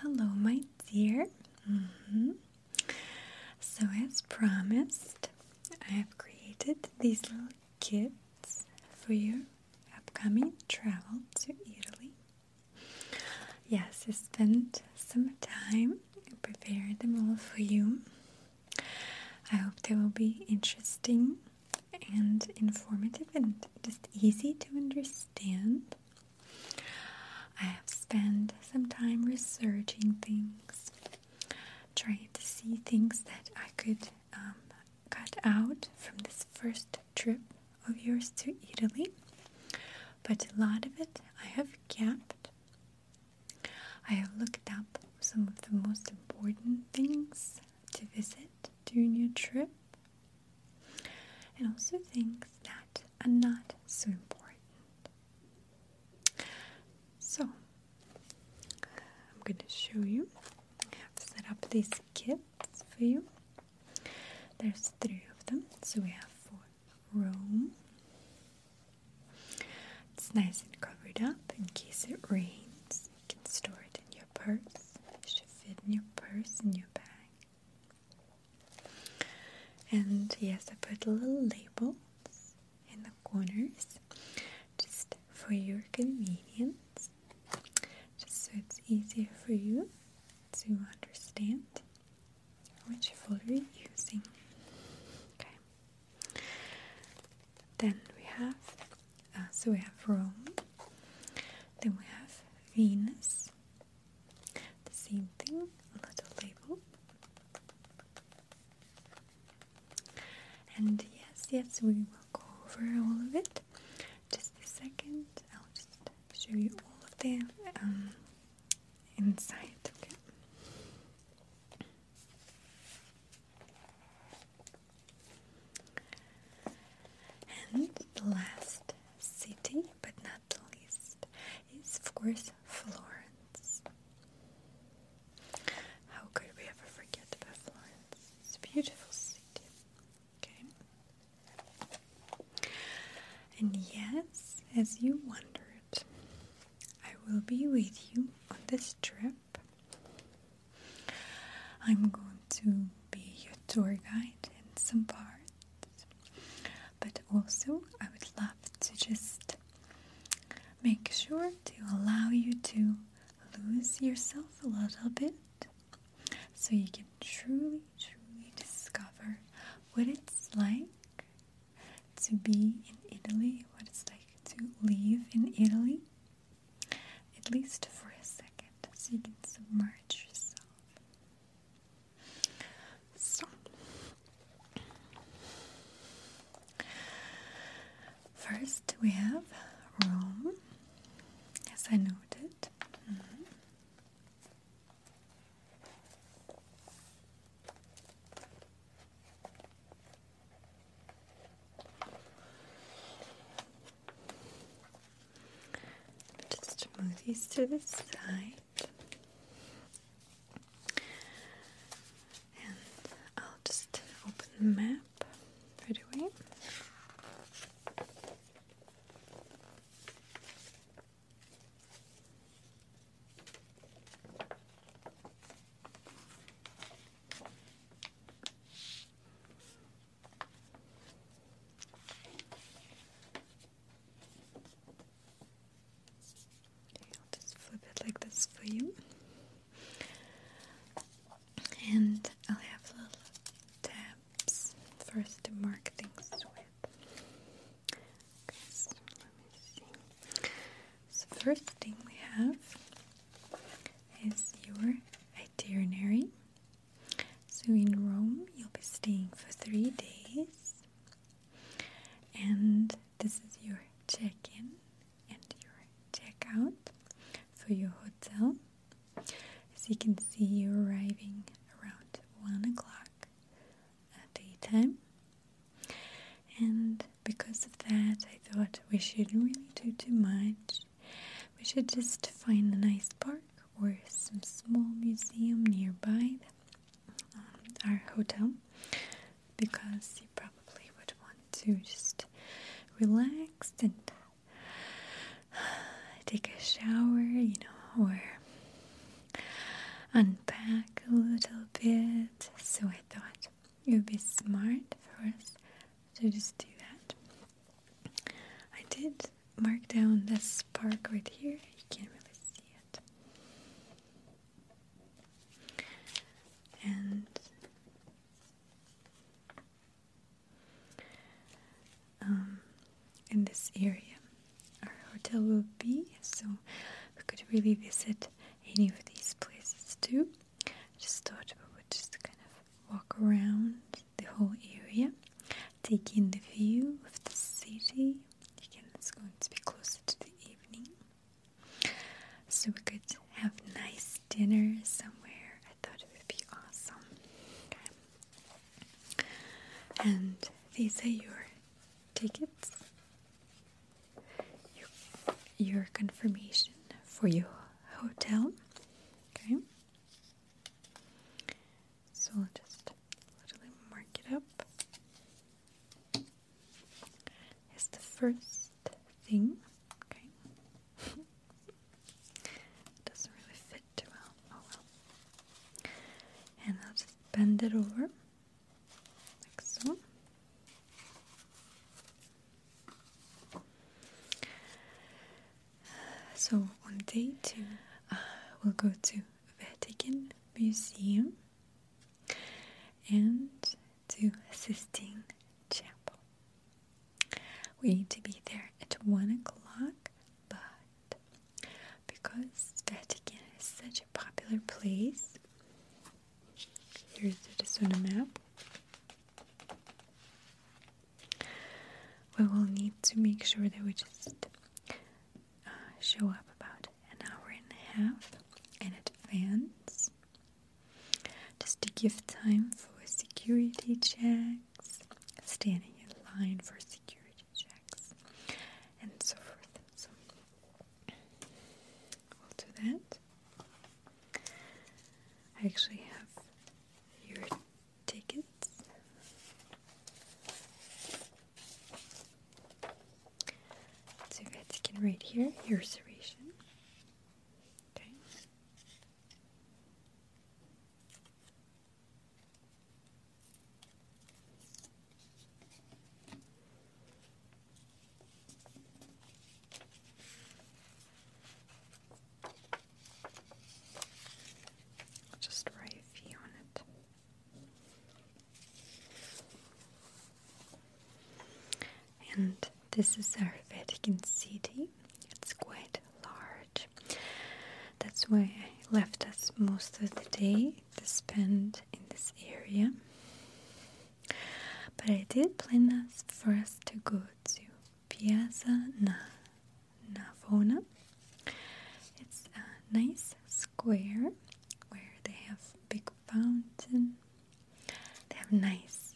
Hello, my dear. Mm-hmm. So, as promised, I have created these little kits for your upcoming travel to Italy. Yes, I spent some time preparing them all for you. I hope they will be interesting and informative and just easy to understand. I have spent some time researching things, trying to see things that I could um, cut out from this first trip of yours to Italy, but a lot of it I have kept. I have looked up some of the most important things to visit during your trip and also things that are not so important. So, I'm going to show you. I've set up these kits for you. There's three of them, so we have for Rome. It's nice and covered up in case it rains. You can store it in your purse. It should fit in your purse, in your bag. And yes, I put little labels in the corners just for your convenience, just so it's easier for you to understand which folder you're using. Okay. Then we have Ah, so we have Rome, then we have Venus, the same thing, a little label. And yes, yes, we will go over all of it. Just a second, I'll just show you all of the um, inside, okay? And the last city, but not the least, is of course Florence. How could we ever forget Florence? It's a beautiful city. Okay. And yes, as you wondered, I will be with you on this trip I'm going to be your tour guide in some parts, but also I would love to just make sure to allow you to lose yourself a little bit so you can truly, truly discover what it's like to be in Italy, what it's like to live in Italy at least for a second, so you can submerge yourself. So, first we have Rome, as I noted. Just move these to the side. And I'll just open the map right away. Okay, I'll just flip it like this for you. And I'll have little tabs first to mark things with. So first thing we have is your itinerary so, in Rome, you'll be staying for three days, and this is your check in and your check out for your hotel. As you can see, you're arriving around one o'clock at daytime, and because of that, I thought we shouldn't really do too much we should just find a nice park or some small museum nearby um, our hotel because you probably would want to just relax and take a shower, you know, or unpack a little bit. So I thought you would be smart for us so just do that. I did mark down this park right here. You can't really see it. And um, in this area, our hotel will be, so we could really visit any of these places too. Just thought we would just kind of walk around the whole area, take in the view of the city. Again, it's going to be closer to the evening. So we could have nice dinner somewhere. I thought it would be awesome. And these are your tickets. Your, your confirmation for your hotel. Okay. So I'll just literally mark it up. It's the first thing. Okay. Doesn't really fit too well. Oh well. And I'll just bend it over like so. So on day two, uh, we'll go to Vatican Museum and to Sistine Chapel. We need to be there at one o'clock, but because Vatican is such a popular place, here's the Sona map. We will need to make sure that we just uh, show up about an hour and a half in advance just to give time for security checks, standing in line for security checks, and so forth. we'll do that. I actually have your tickets. So you guys can write here your reservation. Okay just write on it. And this is our Vatican City. It's quite large. That's why I left us most of the day to spend in this area. But I did plan us for us to go to Piazza Navona. It's a nice square where they have big fountain. They have nice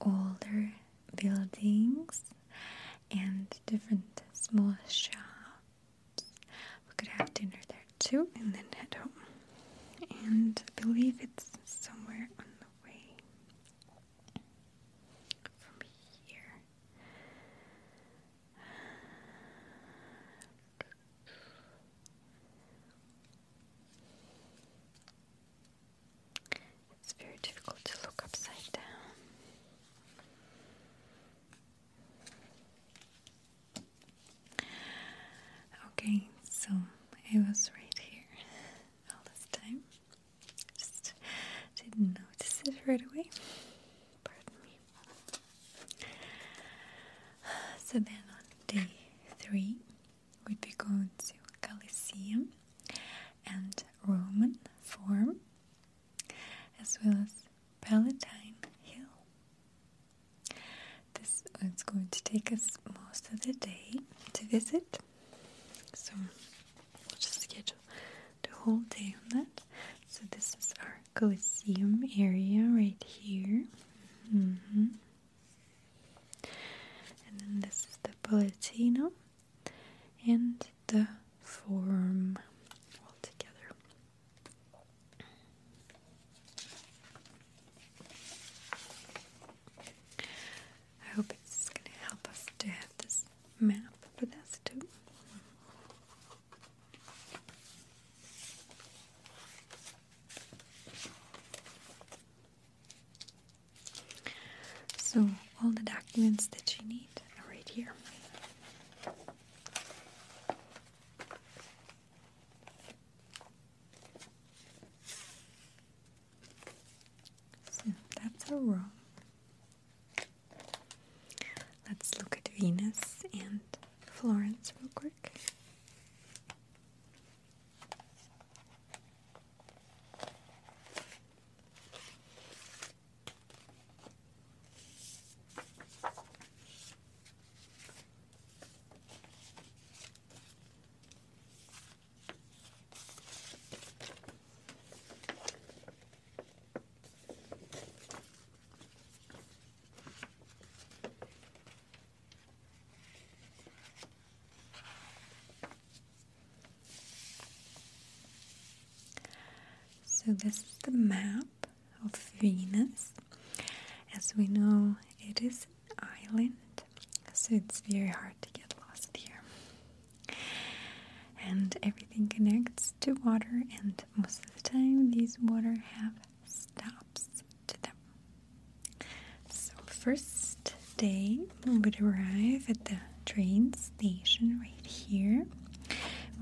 older buildings and different small shops. We could have dinner there too and then head home. And I believe it's somewhere on the way from here. It's very difficult to look upside down. Okay, so it was right here all this time. Just didn't notice it right away. Pardon me. So then on day three, we'd be going to Colosseum and Roman Forum, as well as Palatine Hill. This is going to take us most of the day to visit. So we'll just schedule the whole day on that. So this is our Colosseum area right here. Mm-hmm. And then this is the Palatino and the Forum all together. I hope it's going to help us to have this map for us too. So, all the documents that you need are right here. So that's a rock. Let's look at Venus and Florence real quick. So, this is the map of Venus. As we know, it is an island, so it's very hard to get lost here and everything connects to water and most of the time these water have stops to them so first day we would arrive at the train station right here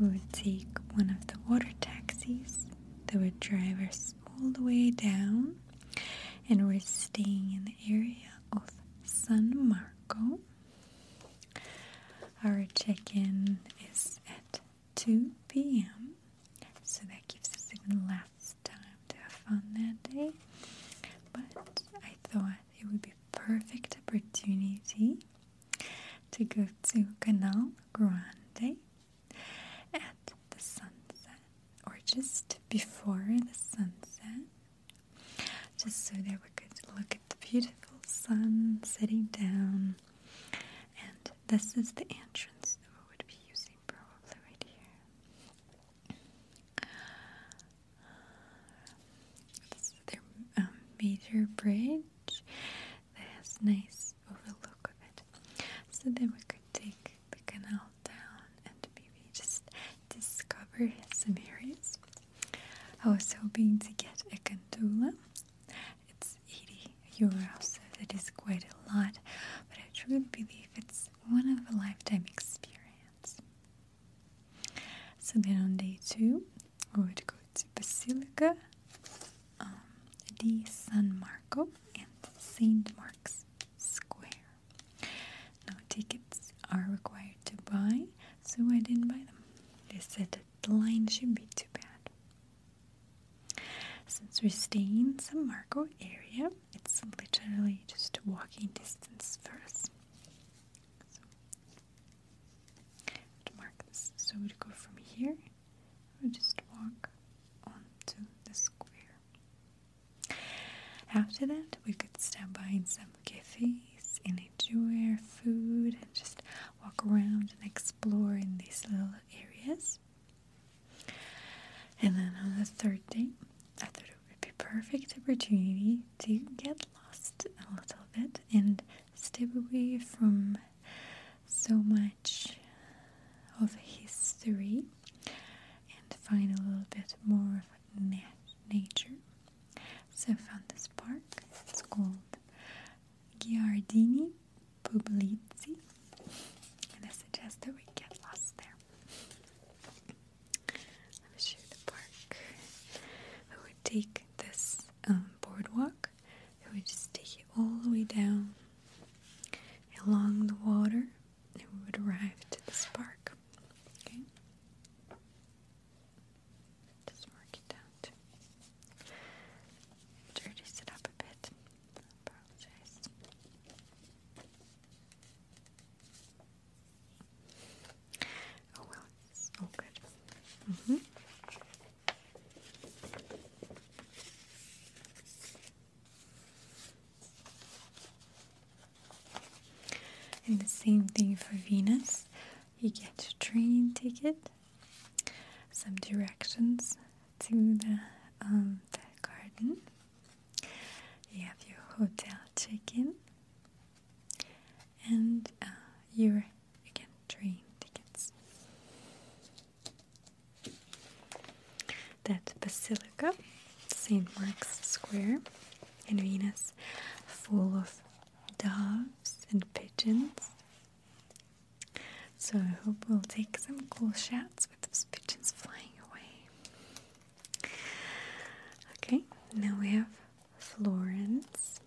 we would take one of the water taxis that would drive us all the way down and we're staying in the area of san marco our check in is at 2 p.m., so that gives us even less time to have fun that day. But I thought it would be perfect opportunity to go to Canal Grande at the sunset or just before the sunset just so that we could look at the beautiful sun setting down. And this is the entrance that we would be using probably right here. This is um, major bridge that has nice overlook of it. So then we could take the canal down and maybe just discover some areas. I was hoping to get a gondola. It's 80 euros, so that is quite a lot, but I truly believe it's one of a lifetime experience. So then on day two, we would go to Basilica the um, San Marco and St. Mark's Square. Now, tickets are required to buy, so I didn't buy them. They said the line shouldn't be too bad. Since we're staying in San Marco area, it's literally just a walking distance for us. So, we'd go from here, we just walk onto the square. After that, we could stop by in some cafes and enjoy our food and just walk around and explore in these little areas. And then on the third day, I thought it would be perfect opportunity to get lost a little bit and step away from so much of history and find a little bit more of nature so I found this park. It's called Giardini Pubblici, And I suggest that we get lost there. Let me show you the park. We would take this um, boardwalk. We would just take it all the way down along the water and we would arrive to this park. Okay. Just mark it down Dirty it up a bit. Oh well, it's all good. Mm -hmm. And the same thing for Venus. You get a train ticket, some directions to the, um, the garden. You have your hotel check-in, and uh, your again train tickets. That basilica, St. Mark's Square in Venus, full of doves, and pigeons. So I hope we'll take some cool shots with those pigeons flying away. Okay, now we have Florence.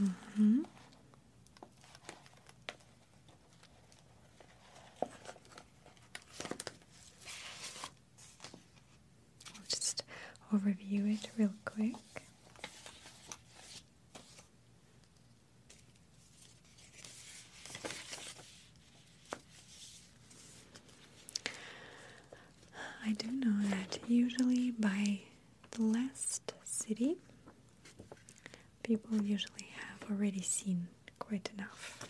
Mm-hmm. I'll just overview it real quick. I do know that usually by the last city, people usually have already seen quite enough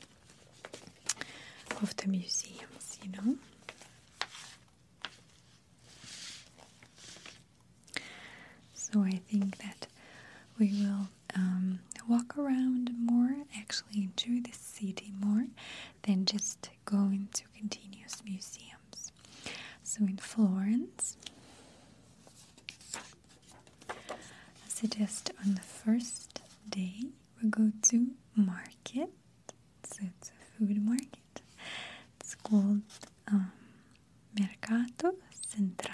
of the museums, you know. So I think that we will um, walk around more, actually enjoy the city more than just going to continuous museums. So in Florence, I suggest on the first day we go to market. So it's a food market. It's called um, Mercato Centrale,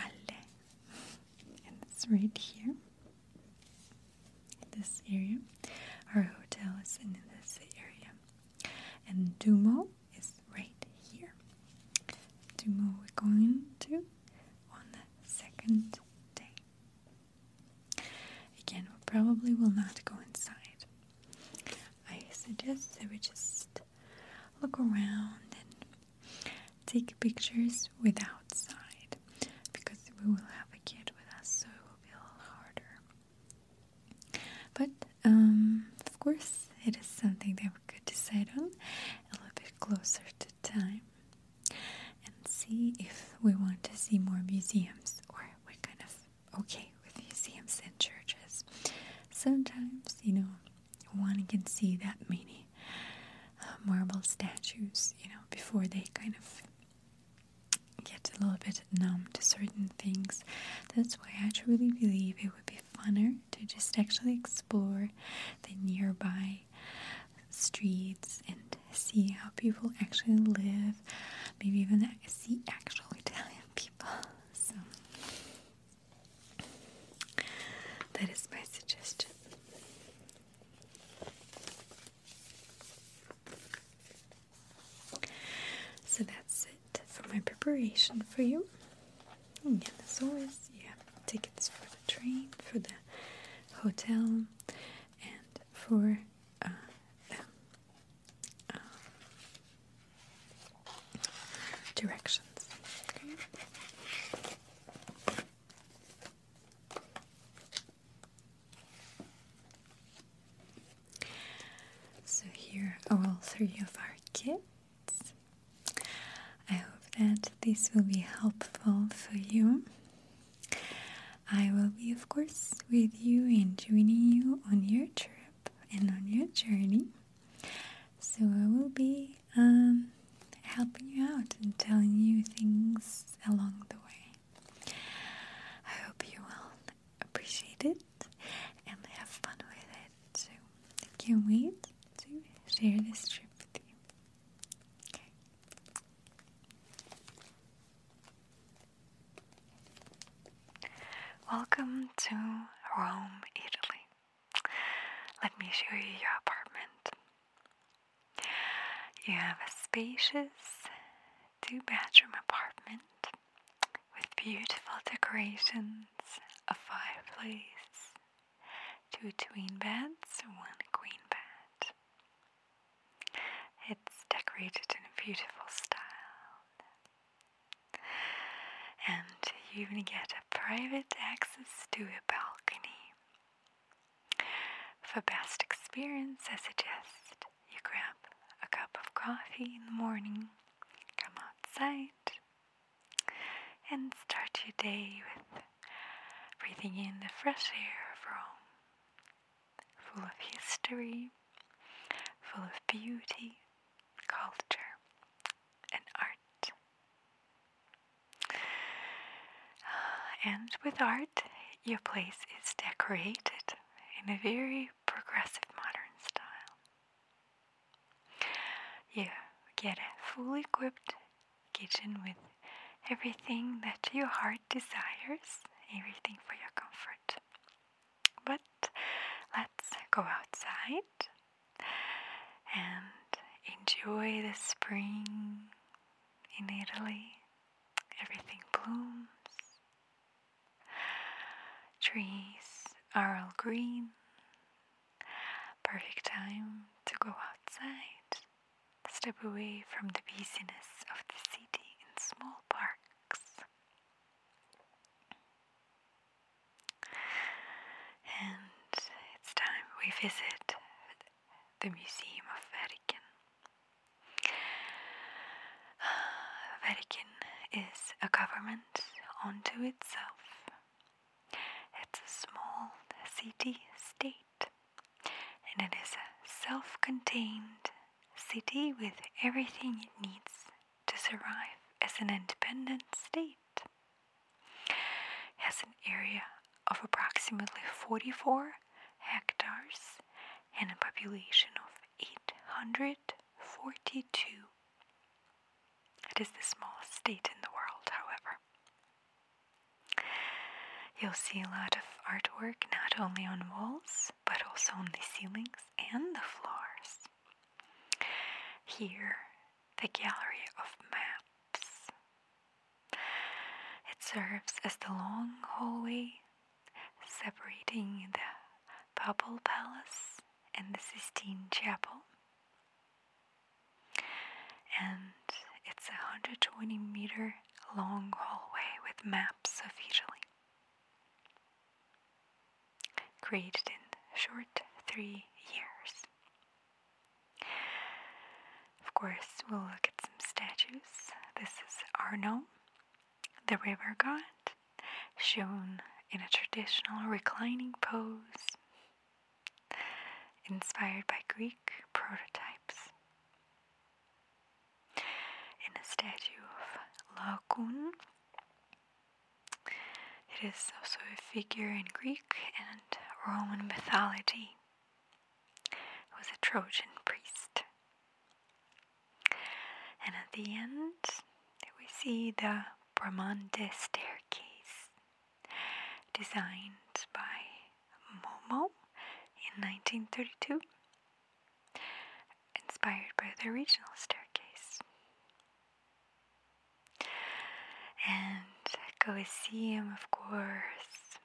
and it's right here, this area. Our hotel is in this area, and Dumo is right here. Dumo we're going to on the second day. Again, we probably will not go inside. I suggest that we just look around and take pictures without outside because we will have a kid with us, so it will be a little harder. But um, of course, it is something that we could decide on a little bit closer to time and see if we want to see more museums or what kind of okay with museums and churches. Sometimes, you know, one can see that many uh, marble statues, you know, before they kind of get a little bit numb to certain things. That's why I truly believe it would be funner to just actually explore the nearby streets and see how people actually live, maybe even is the actual Italian people. So that is my suggestion. So that's it for my preparation for you. And as always, you tickets for the train, for the hotel, and for uh, um, directions. So, here are all three of our kits. I hope that this will be helpful for you. I will be, of course, with you and joining you on your trip and on your journey. So I will be um, helping you out and telling you things along the way. I hope you will appreciate it and have fun with it. So I can't wait to share this trip with you. Okay. Welcome to Rome, Italy. Let me show you your apartment. You have a spacious two bedroom apartment with beautiful decorations, a fireplace, two twin beds, one queen bed. It's decorated in a beautiful style, and you even get a private access to a balcony. For best experience, I suggest you grab a cup of coffee in the morning, come outside, and start your day with breathing in the fresh air of Rome full of history, full of beauty, culture, and art. Ah, and with art, your place is decorated in a very progressive modern style. You get a fully equipped kitchen with everything that your heart desires, everything for your comfort. But let's go outside and enjoy the spring in Italy. Everything blooms, trees are all green. Perfect time to go outside, step away from the busyness of the city in small parks. And it's time we visit the Museum of Vatican. Uh, Vatican is a government unto itself. It's a small city state and it is self contained city with everything it needs to survive as an independent state. Has an area of approximately 44 hectares and a population of 842. It is the smallest state in the world, however. You'll see a lot of artwork not only on walls but also on the ceilings and the floors. Here, the gallery of maps. It serves as the long hallway separating the Papal Palace and the Sistine Chapel. And it's a 120 meter long hallway with maps of Italy created in short three years. Of course, we'll look at some statues. This is Arno, the river god, shown in a traditional reclining pose, inspired by Greek prototypes in a statue of Lacon, It is also a figure in Greek and Roman mythology. It was a Trojan priest. And at the end, we see the Bramante staircase designed by Momo in 1932 inspired by the original staircase. And Colosseum, of course,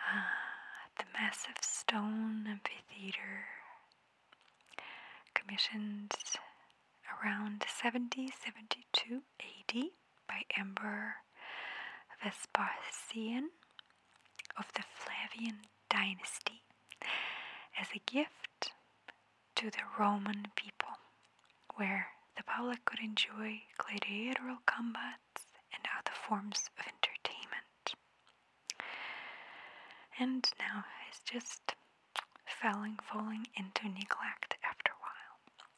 ah, the massive stone amphitheater, commissioned around seventy seventy two AD by Emperor Vespasian of the Flavian dynasty as a gift to the Roman people, where the public could enjoy gladiatorial combats and other forms of entertainment. And now it's just falling, falling into neglect after a while.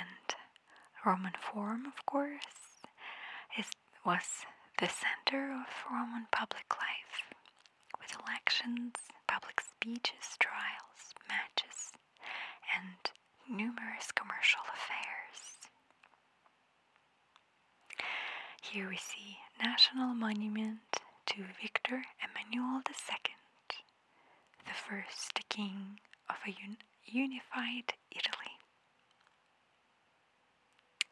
And Roman Forum, of course, was the center of Roman public life, with elections, public speeches, trials, matches, and numerous commercial affairs. Here we see National Monument to Victor Emmanuel II, the first king of a unified Italy.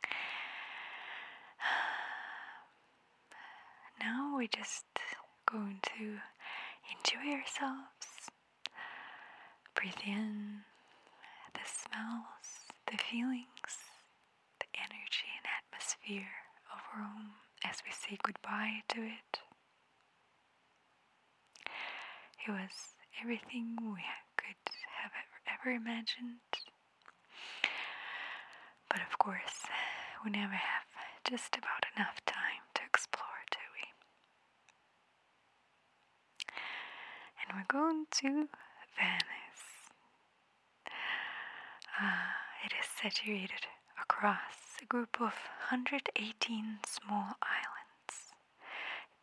Now we're just going to enjoy ourselves. Breathe in the smells, the feelings, the energy and atmosphere of Rome as we say goodbye to it. It was everything we could have ever, imagined. But of course, we never have just about enough time to explore, do we? And we're going to Venice. Uh, it is situated across a group of 118 small islands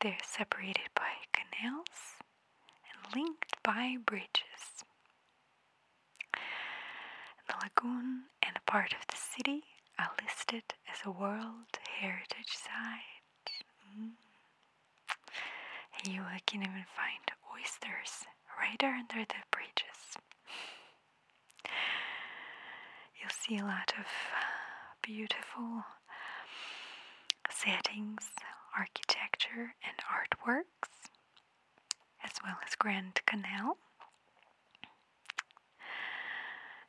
they're separated by canals and linked by bridges. The lagoon and a part of the city are listed as a World Heritage Site. Mm. You can even find oysters right under the bridges. You'll see a lot of beautiful settings, architecture, and artworks, as well as Grand Canal.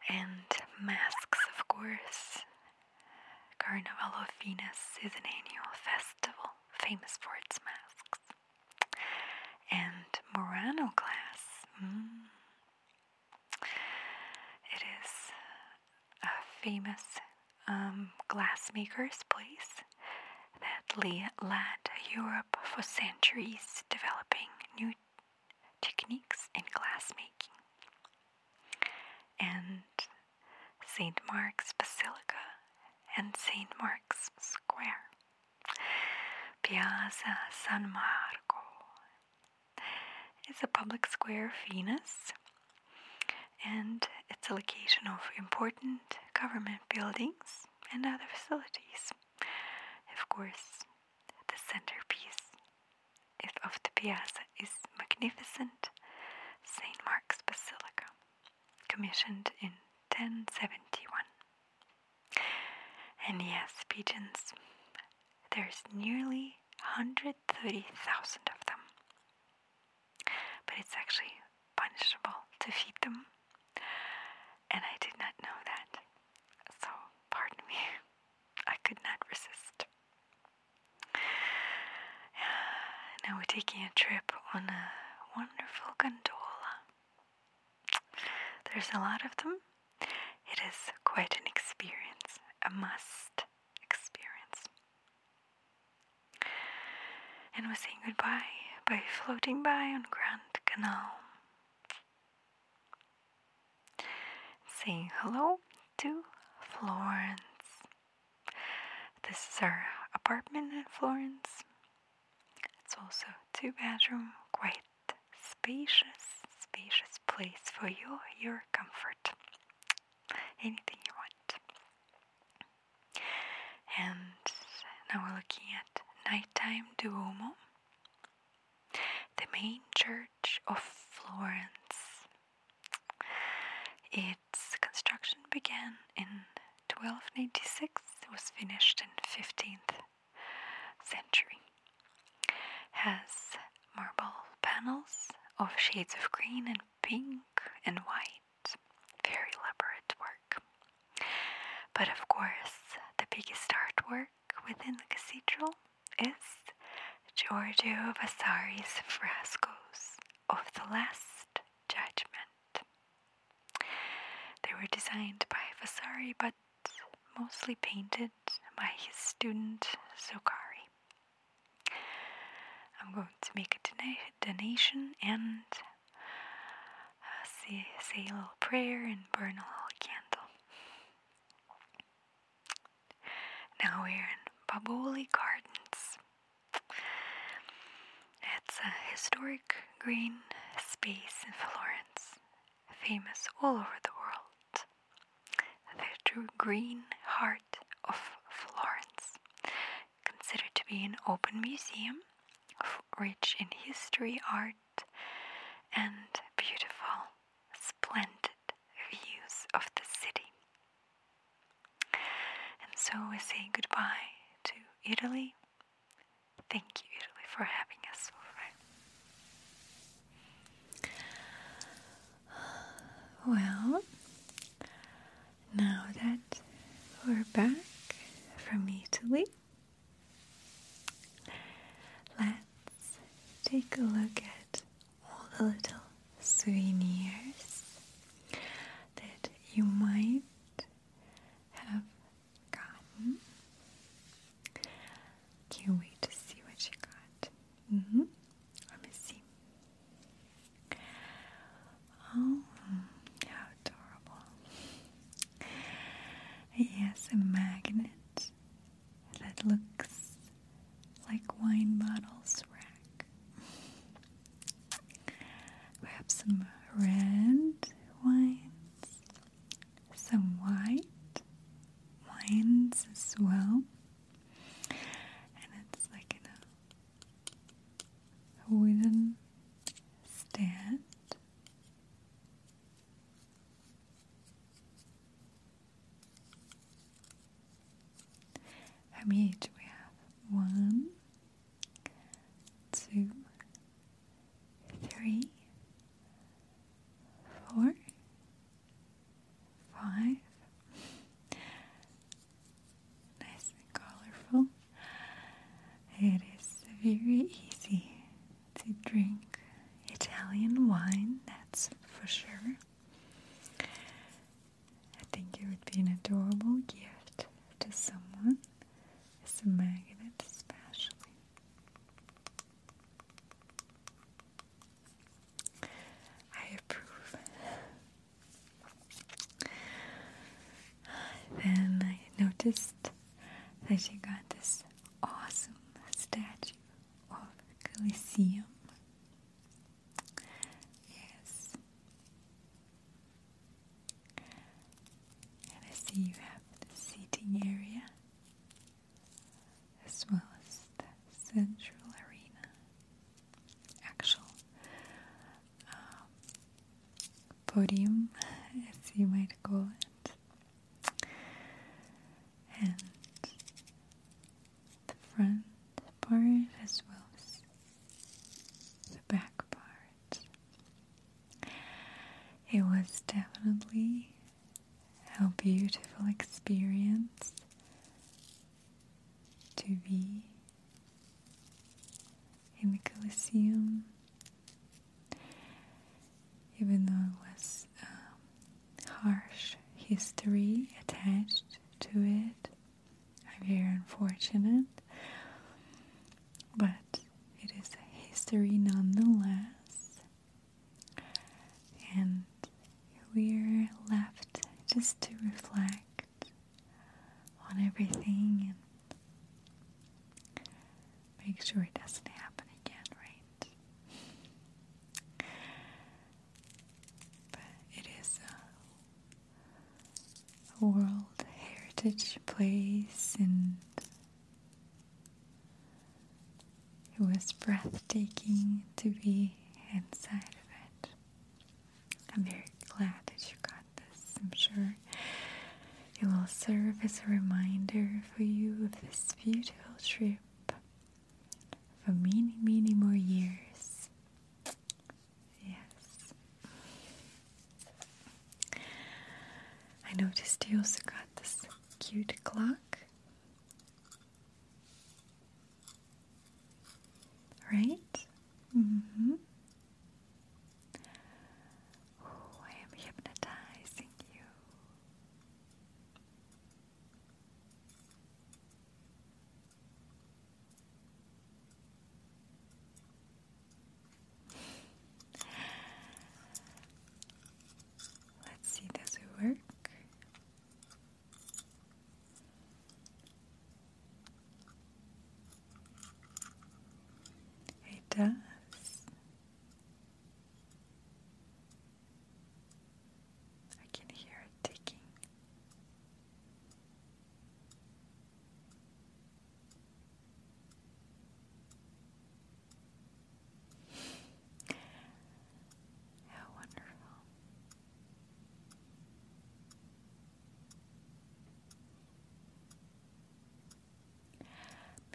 And masks, of course. Carnival of Venus is an annual festival famous for its masks. And Murano glass. Mm, it is a uh, famous um, glassmaker's place that led Europe for centuries, developing new techniques in glassmaking. And St. Mark's Basilica and St. Mark's Square, Piazza San Marco, it's a public square, Venice, and it's a location of important government buildings and other facilities. Of course, the centerpiece of the piazza is magnificent St. Mark's Basilica, commissioned in 1071. And yes, pigeons, there's nearly 130,000 of them. But it's actually punishable to feed them. And I did not know that. So, pardon me, I could not resist. Now we're taking a trip on a wonderful gondola. There's a lot of them, it is quite an experience, a must experience. And we're saying goodbye by floating by on Grand Canal, saying hello to Florence. This is our apartment in Florence. It's also two bedroom, quite spacious, spacious place for you, your comfort, anything you want. And now we're looking at nighttime Duomo, the main church of Florence. Its construction began in 1296, it was finished in 15th century has marble panels of shades of green and pink and white. Very elaborate work. But of course, the biggest artwork within the cathedral is Giorgio Vasari's frescoes of the Last Judgment. They were designed by Vasari but mostly painted by his student Zuccari. I'm going to make a donation and uh, say, say a little prayer and burn a little candle. Now we're in Baboli Gardens. It's a historic green space in Florence, famous all over the world. The true green heart of Florence, considered to be an open museum rich in history, art, and beautiful, splendid views of the city. And so we say goodbye to Italy. Thank you, Italy, for having us well, now that we're back from Italy, let's take a look at all the little souvenirs that you might have gotten. Can't wait to see what you got. Mm Let me see. Oh, how adorable. It has a magnet that looks like wine bottles rack. We have some red wines, some white wines as well. And it's like a wooden stand. How many each we have? One, two, three, four, five. Nice and colorful. It is very easy to drink Italian wine, that's for sure. I think it would be an adorable gift to someone, It's a magnet especially. I approve. Then I noticed that she got this awesome statue of Colosseum. Yes. And I see you have the seating area as well as the central arena, actual um, podium, as you might call it, and the front part as well as the back part. It was definitely how beautiful experience to be in the Colosseum, even though it was um, harsh history attached to it. I'm very unfortunate, but it is a history nonetheless, and we're left just to reflect on everything and make sure it doesn't happen again, right? But it is a, World Heritage Place and it was breathtaking to be inside of it. I'm very glad that you got this. I'm sure it will serve as a reminder for you of this beautiful trip for many, many more years. Yes. I noticed you also got this cute clock. Right? Mm-hmm. I am hypnotizing you. Let's see, does it work? It does. I can hear it ticking. How wonderful.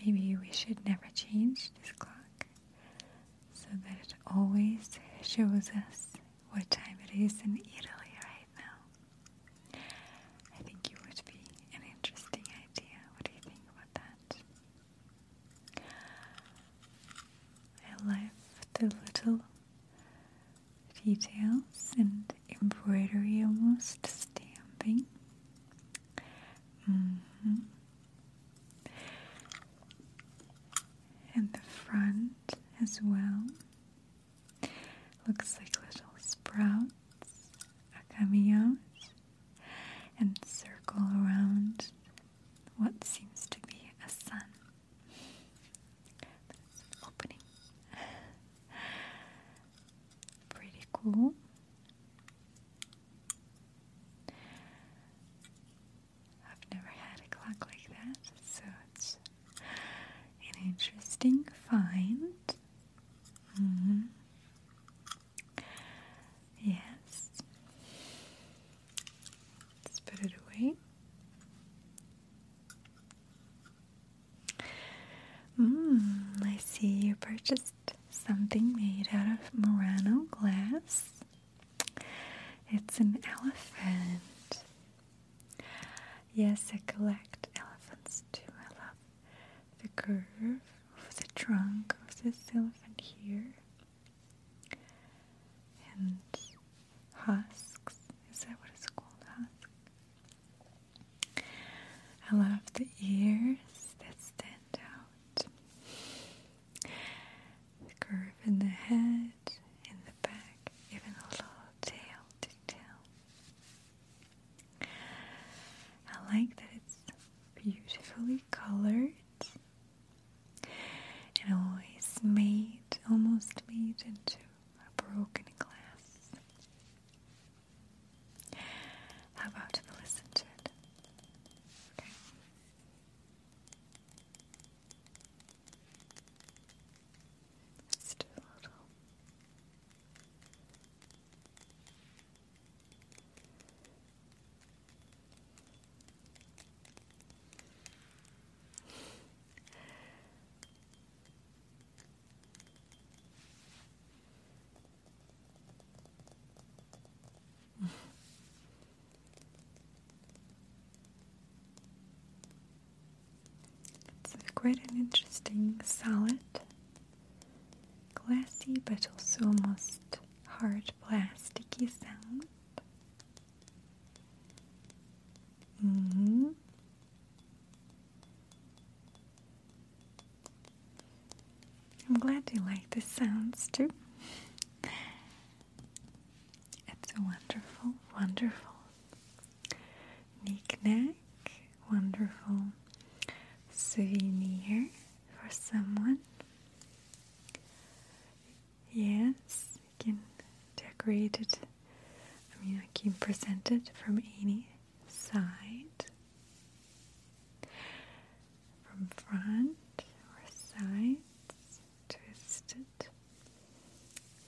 Maybe we should never change this clock so that it always shows us what time it is in Italy right now. I think it would be an interesting idea. What do you think about that? I left a little details and embroidery almost stamping. Mm-hmm. And the front as well looks like little sprouts are coming out and circle around what seems to be a sun. opening. Pretty cool. I've never had a clock like that, so it's an interesting find. Mm-hmm. Yes. Let's put it away. Mmm, I see you purchased something made out of Murano glass. It's an elephant. Yes, I collect elephants too. I love the curve of the trunk of this elephant here and husks. Is that what it's called? I love the ears that stand out. The curve in the head, in the back, even a little tail detail. I like that it's beautifully colored and always made, almost made into a broken glass. How about we listen to it? Okay. let a little. It's quite an interesting salad. glassy, but also almost hard plasticky sound. Mm -hmm. I'm glad you like the sounds too. It's a wonderful, wonderful knick-knack, wonderful souvenir for someone. Yes, you can decorate it. I mean, you can present it from any side, from front or sides, twist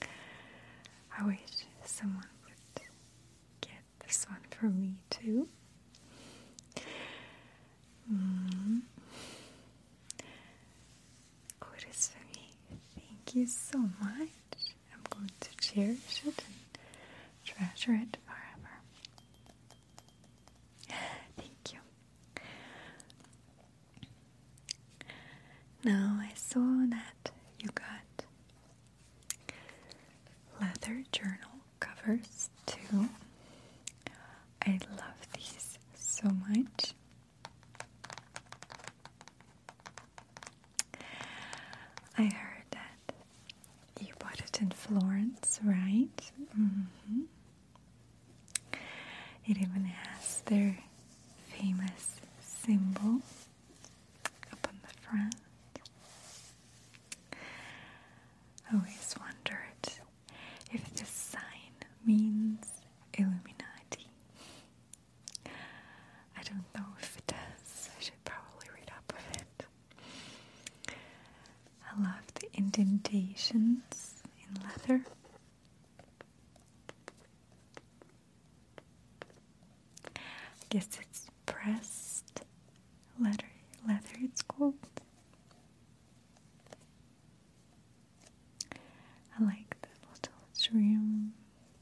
I wish someone would get this one for me too. Mm. Thank you so much. I'm going to cherish it and treasure it forever. Thank you. Now I saw that you got leather journal covers ones I love these so much. I heard that you bought it in Florence, right? Mm-hmm. It even has their famous symbol up on the front. I always wondered if this sign means Illuminati. I don't know if it does. I should probably read up on it. I love the indentations in leather. I guess it's pressed leather. Leather, it's called. I like the little trim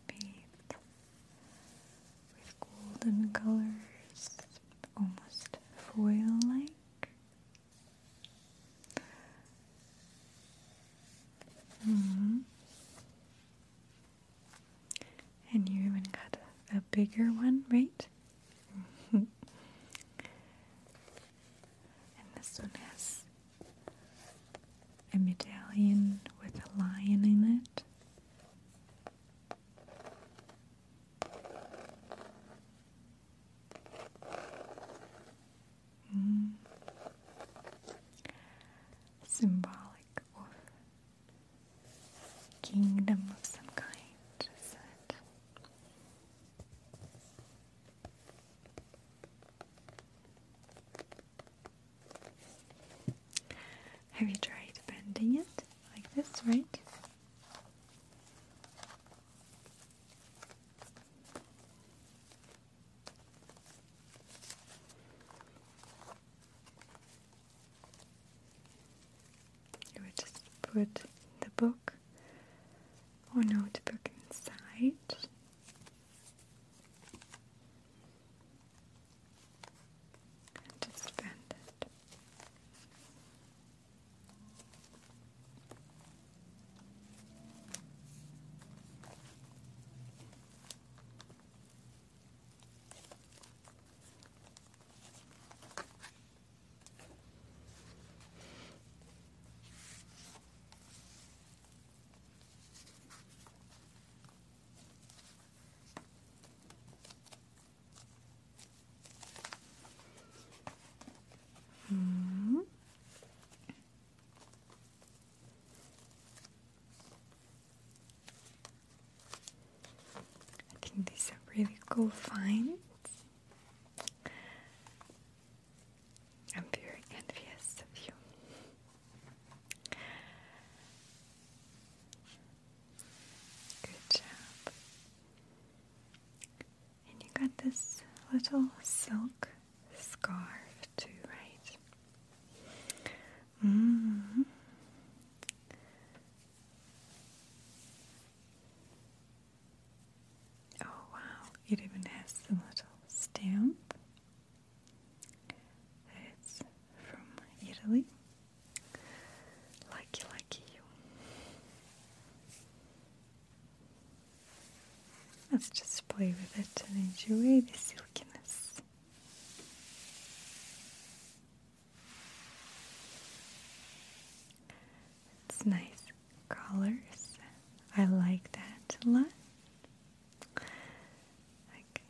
bead with golden colors, almost foil like. Mm-hmm. And you even got a bigger one, right? And this one has a medallion with a lion in it. Mm. Symbolic of kingdom of some kind, is it? Have you tried bending it like this, right? You would just put the book or oh, notebook inside. And just bend it. Mm. I think these are really cool finds. I'm very envious of you. Good job. And you got this little silk scarf too, right? -hmm. Oh wow, it even has the little stamp that's from Italy. Lucky, lucky you. Let's just play with it and enjoy the silkiness. It's nice colors. I like that a lot. Like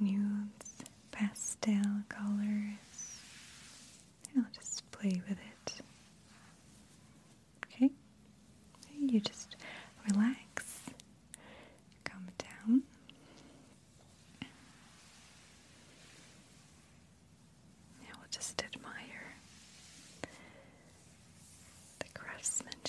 nudes, pastel colors. I'll just play with it. Okay? You just relax, calm down we will just admire the craftsmanship.